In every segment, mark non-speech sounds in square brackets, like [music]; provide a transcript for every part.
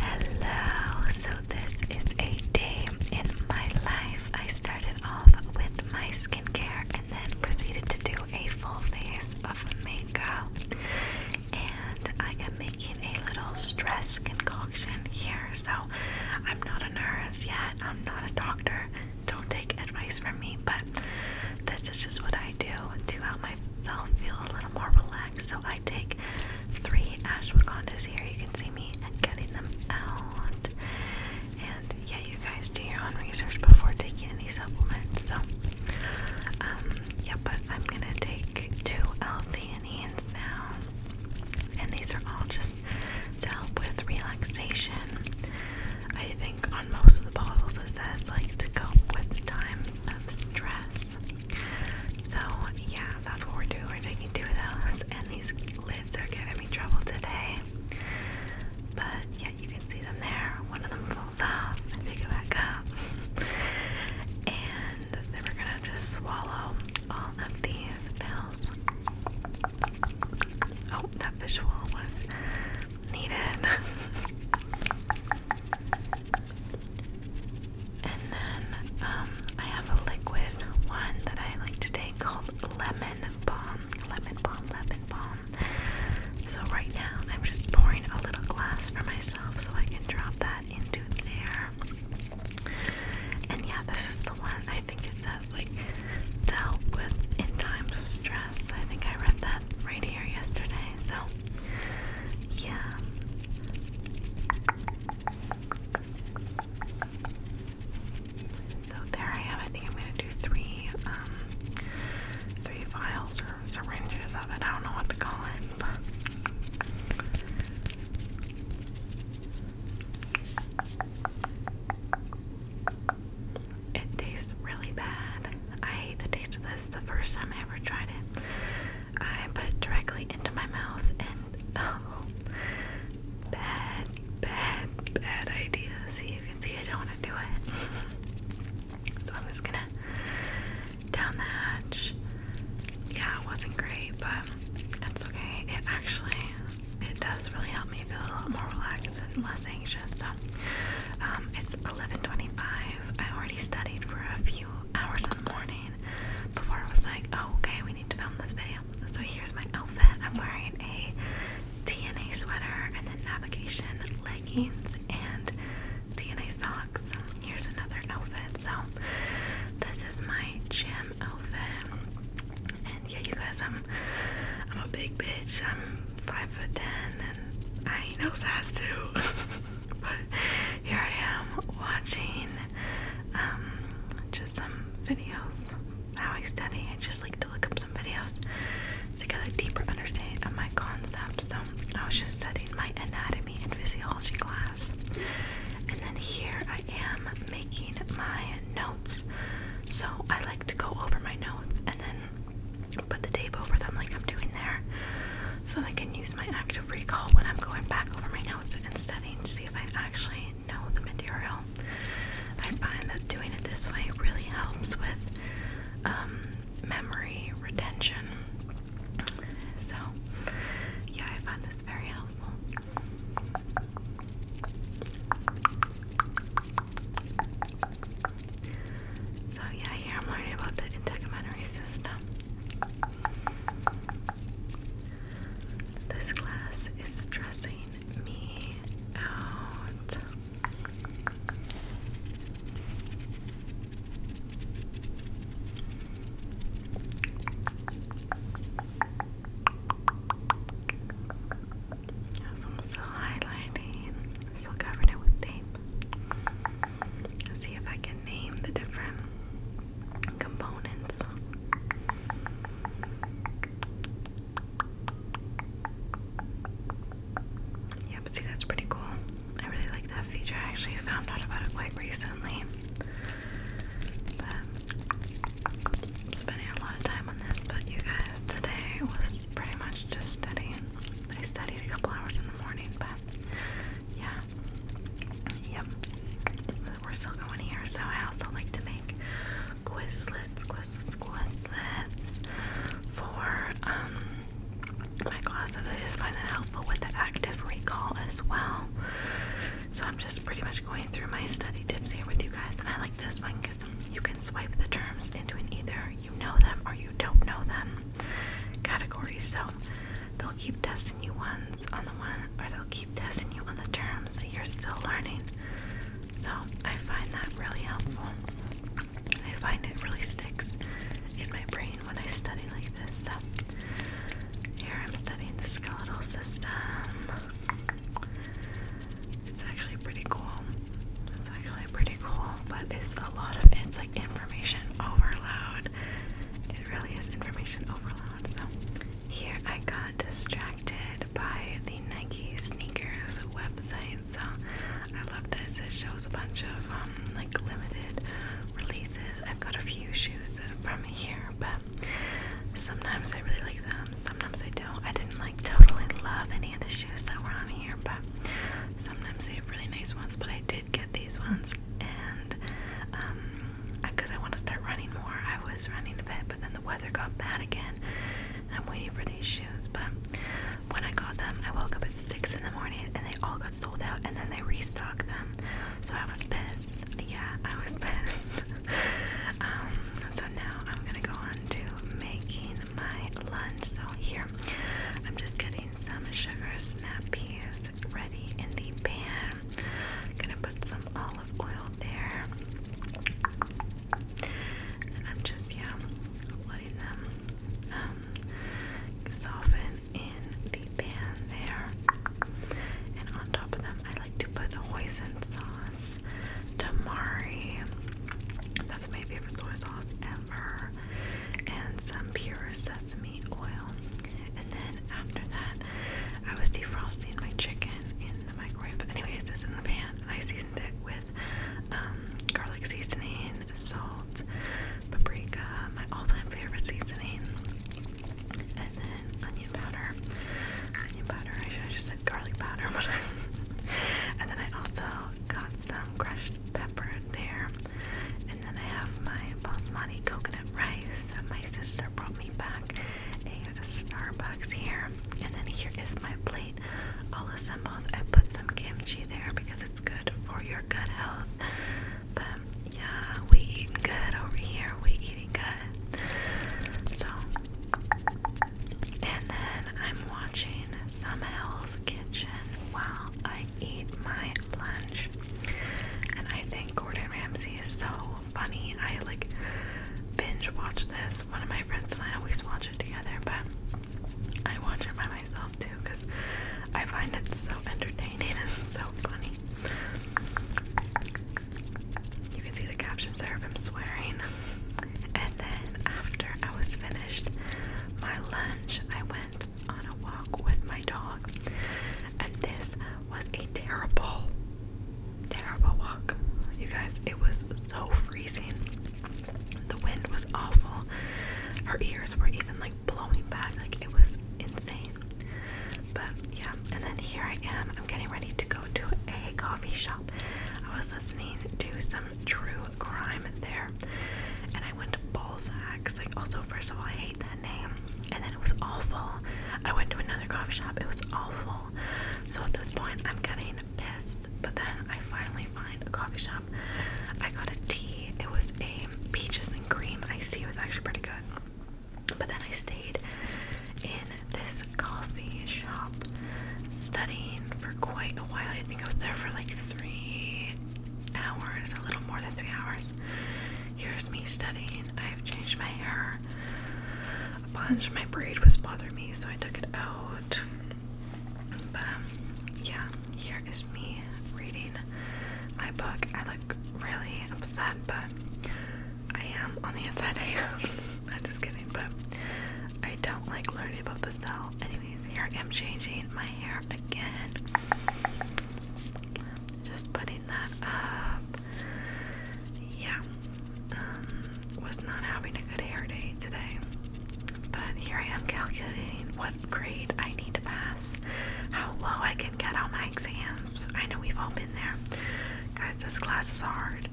Hello, so this is a day in my life. I started off with my skincare and then proceeded to do a full face of makeup. And I am making a little stress concoction here. So I'm not a nurse yet, I'm not a doctor. Don't take advice from me, but this is just what I do to help myself feel a little more relaxed. So I take three ashwagandhas here. You can see me getting them out. And yeah, you guys do your own research before taking any supplements. So, um, yeah, but I'm gonna take two L-theanines now. And these are all just to help with relaxation. I think on most of the bottles it says like to cope with times of stress. So yeah, that's what we're doing. We're taking two of those, and these lids are giving me trouble today. But yeah, you can see them there. One of them falls off. I pick it back up, and then we're gonna just swallow all of these pills. Oh, that visual was needed. [laughs] And then um, I have a liquid one that I like to take called Lemon Balm. Lemon Balm, Lemon Balm. So right now I'm just pouring a little glass for myself so I can drop that into there. And yeah, this is the one I think it says like dealt with in times of stress. I think I read that right here yesterday. So yeah. So there I have. I think I'm gonna do three, um, three vials or syringes of it. I don't know what to call it, but. It tastes really bad. I hate the taste of this. The first time I ever tried it, I put it directly into my mouth, and oh, bad, bad, bad idea. See, you can see I don't want to do it. [laughs] so I'm just gonna down the hatch. Yeah, it wasn't great, but it's okay. It actually it does really help me feel a lot more relaxed and less anxious. So um, it's 11:25. I already studied for a few hours in the morning before I was like, oh, okay, we need to film this video. So here's my outfit. I'm wearing a DNA sweater and then navigation leggings and DNA socks. Here's another outfit. So this is my gym outfit. And yeah, you guys, I'm I'm a big bitch. I'm five foot ten, and I ain't no size two. [laughs] but [laughs] here I am watching um, just some videos how I study. I just like to look up some videos to get a deeper understanding of my concepts. So I was just studying my anatomy and physiology class. And then here I am making my notes. So I like to go over my notes and then put the tape over them like I'm doing there so I can use my active recall when I'm going back over my notes and studying to see if I actually know the material. I find that doing it this way really helps with um, memory retention. So, yeah, I find this very helpful. So yeah, here I'm learning about the integumentary system. This class is stressing me out. I'm still highlighting. i still covering it with tape see if I can name the different components. Yeah, but see, that's pretty cool. I really like that feature. I actually found out about it quite recently. I'm spending a lot of time on this, but you guys, today was pretty much just studying. I studied a couple hours in the morning, but yeah, yep. We're still going here, so I also like to make Quizlets, Quizlets, Quizlets for um, my classes. I just find that helpful with the active recall as well. So I'm just pretty much going through my study tips here with you guys, and I like this one because you can swipe the terms into an either you know them or you don't know them categories. So they'll keep testing you ones on the one, or they'll keep testing you on the terms that you're still learning. So I find that really helpful. I find it really sticks in my brain when I study like this. So here I'm studying the skeletal system. It's actually pretty cool. It's actually pretty cool, but it's a lot of it's like information overload. It really is information overload. So, here I got distracted by the Nike sneakers website. So, I love this. It shows a bunch of um, like limited releases. I've got a few shoes from here, but sometimes I really like them, sometimes I don't. I didn't like totally love any of the shoes that were on here, but Sometimes they have really nice ones, but I did get these ones, and because um, I want to start running more, I was running a bit, but then the weather got bad again, and I'm waiting for these shoes. But when I got them, I woke up at six in the morning, and they all got sold out, and then they restocked them, so I was pissed. Yeah, I was [laughs] pissed. um, so now I'm gonna go on to making my lunch. So here, I'm just getting some sugar snap peas ready in the pan. I'm Gonna put some olive oil there. And I'm just yeah, letting them um, soften in the pan there. And on top of them, I like to put hoisin sauce, tamari. That's my favorite soy sauce and some pure sesame oil. And then after that, I was defrosting my chicken in the microwave. But anyways, this in the pan, I seasoned it with um, garlic seasoning, salt, paprika, my all-time favorite seasoning, and then onion powder. Onion powder. I should have just said garlic powder, [laughs] but. and then I also got some crushed pepper there. And then I have my basmati coconut rice. My sister brought me back a Starbucks here. And then here is my plate all assembled. I put some kimchi there because it's good for your gut health. But yeah, we eating good over here. We eating good. So and then I'm watching some Hell's Kitchen. Wow, I eat my lunch. And I think Gordon Ramsay is so funny. I like binge watch this. One of my friends and I always watch it together, but I watch it by myself too because I find it so entertaining and [laughs] so funny. You can see the captions there of him swearing. [laughs] And then after I was finished my lunch, I went on a walk with my dog. And this was a terrible, terrible walk. You guys, it was so freezing. The wind was awful. Her ears were even like blowing back. Like it was insane. But yeah, and then here I am. I'm getting ready to go to a coffee shop. I was listening to some true Crime in there. And I went to Balzac's. Like, also, first of all, I hate that name. And then it was awful. I went to another coffee shop. It was awful. So at this point, I'm getting pissed. But then I finally find a coffee shop. I got a tea. It was a peaches and cream I see It was actually pretty good. But then I stayed in this coffee shop studying for quite a while. I think I was there for like three hours, a little more than three hours. Here's me studying. I've changed my hair a bunch. My braid was bothering me, so I took it out. But um, yeah, here is me reading my book. I look really upset, but I am on the inside. I [laughs] am. I'm just kidding, but I don't like learning about the cell anyway. Here I am changing my hair again. Just putting that up. Yeah. Um, was not having a good hair day today. But here I am calculating what grade I need to pass, how low I can get on my exams. I know we've all been there. Guys, this class is hard.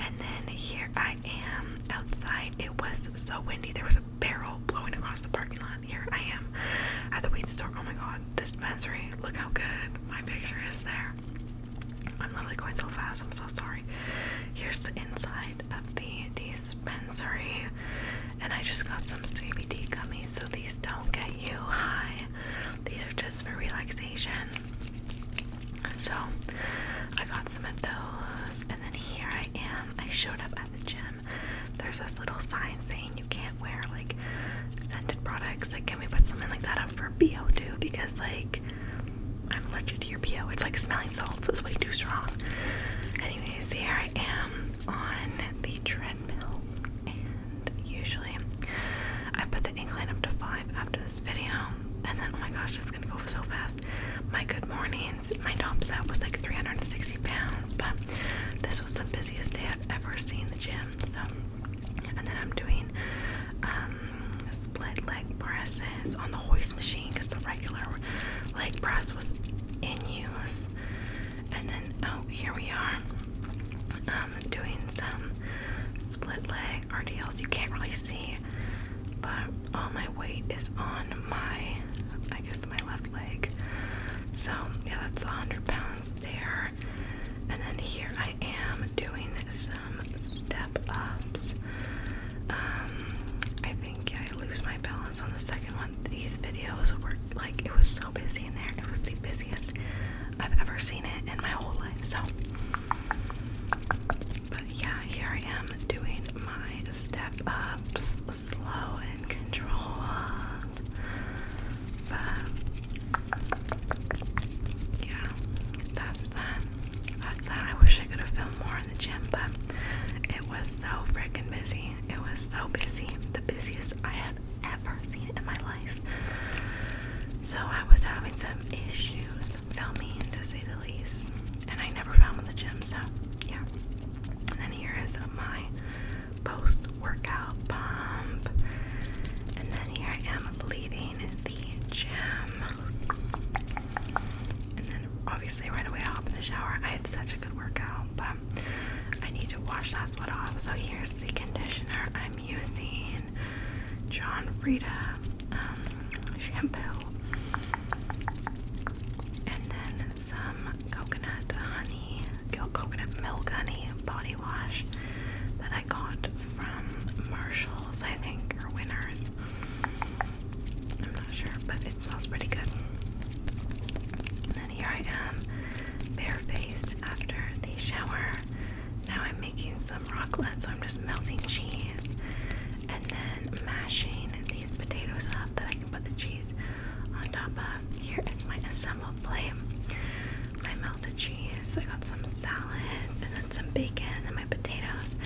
And then here I I am outside. It was so windy. There was a barrel blowing across the parking lot. Here I am at the weed store. Oh my god, dispensary. Look how good my picture is there. I'm literally going so fast. I'm so sorry. Here's the inside of the dispensary. And I just got some CBD gummies. So these don't get you high, these are just for relaxation. So I got some of those, and then here I am. I showed up at the gym. There's this little sign saying you can't wear like scented products. Like, can we put something like that up for BO too? Because like I'm allergic to your BO. It's like smelling salts is way too strong. Anyways, here I am on the treadmill, and usually I put the incline up to five after this video, and then oh my gosh, it's gonna go so fast podcast. My good mornings, my top set was like 360 pounds, but this was the busiest day I've ever seen the gym. So, and then I'm doing um, split leg presses on the hoist machine because the regular leg press was in use. And then, oh, here we are. Um, doing some split leg RDLs. You can't really see but all my weight is on my, I guess, my left leg. So, yeah, that's a 100 pounds there. And then here I am doing some step ups. Um, I think I lose my balance on the second one. These videos were like, it was so busy in there. It was the busiest I've ever seen it in my whole life. So, but yeah, here I am doing my step ups slow and controlled. But yeah, that's that. That's that. I wish I could have filmed more in the gym, but it was so freaking busy. It was so busy. The busiest I had ever seen in my life. So I was having some issues was to say the least. And I never found the gym, so yeah. And then here is my post workout pump. And then here I am leaving the gym. And then obviously right away I hop in the shower. I had such a good workout, but I need to wash that sweat off. So here's the conditioner I'm using. John Frieda um, shampoo. And then some coconut honey, coconut milk honey body wash that I got from Marshalls, I think, or Winners. I'm not sure, but it smells pretty good. And then here I am, barefaced after the shower. Now I'm making some rocklets, so I'm just melting cheese and then mashing these potatoes up that I can put the cheese on top of. Here is my assembled plate. My melted cheese, I got some salad, and then some bacon, and then my potatoes.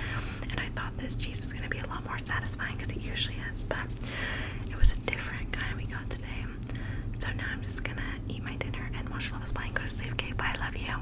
And I thought this cheese was going to be a lot more satisfying because it usually is, but it was a different kind we got today. So now I'm just going to eat my dinner and watch Love is Blind go to Safe K. Bye, love you.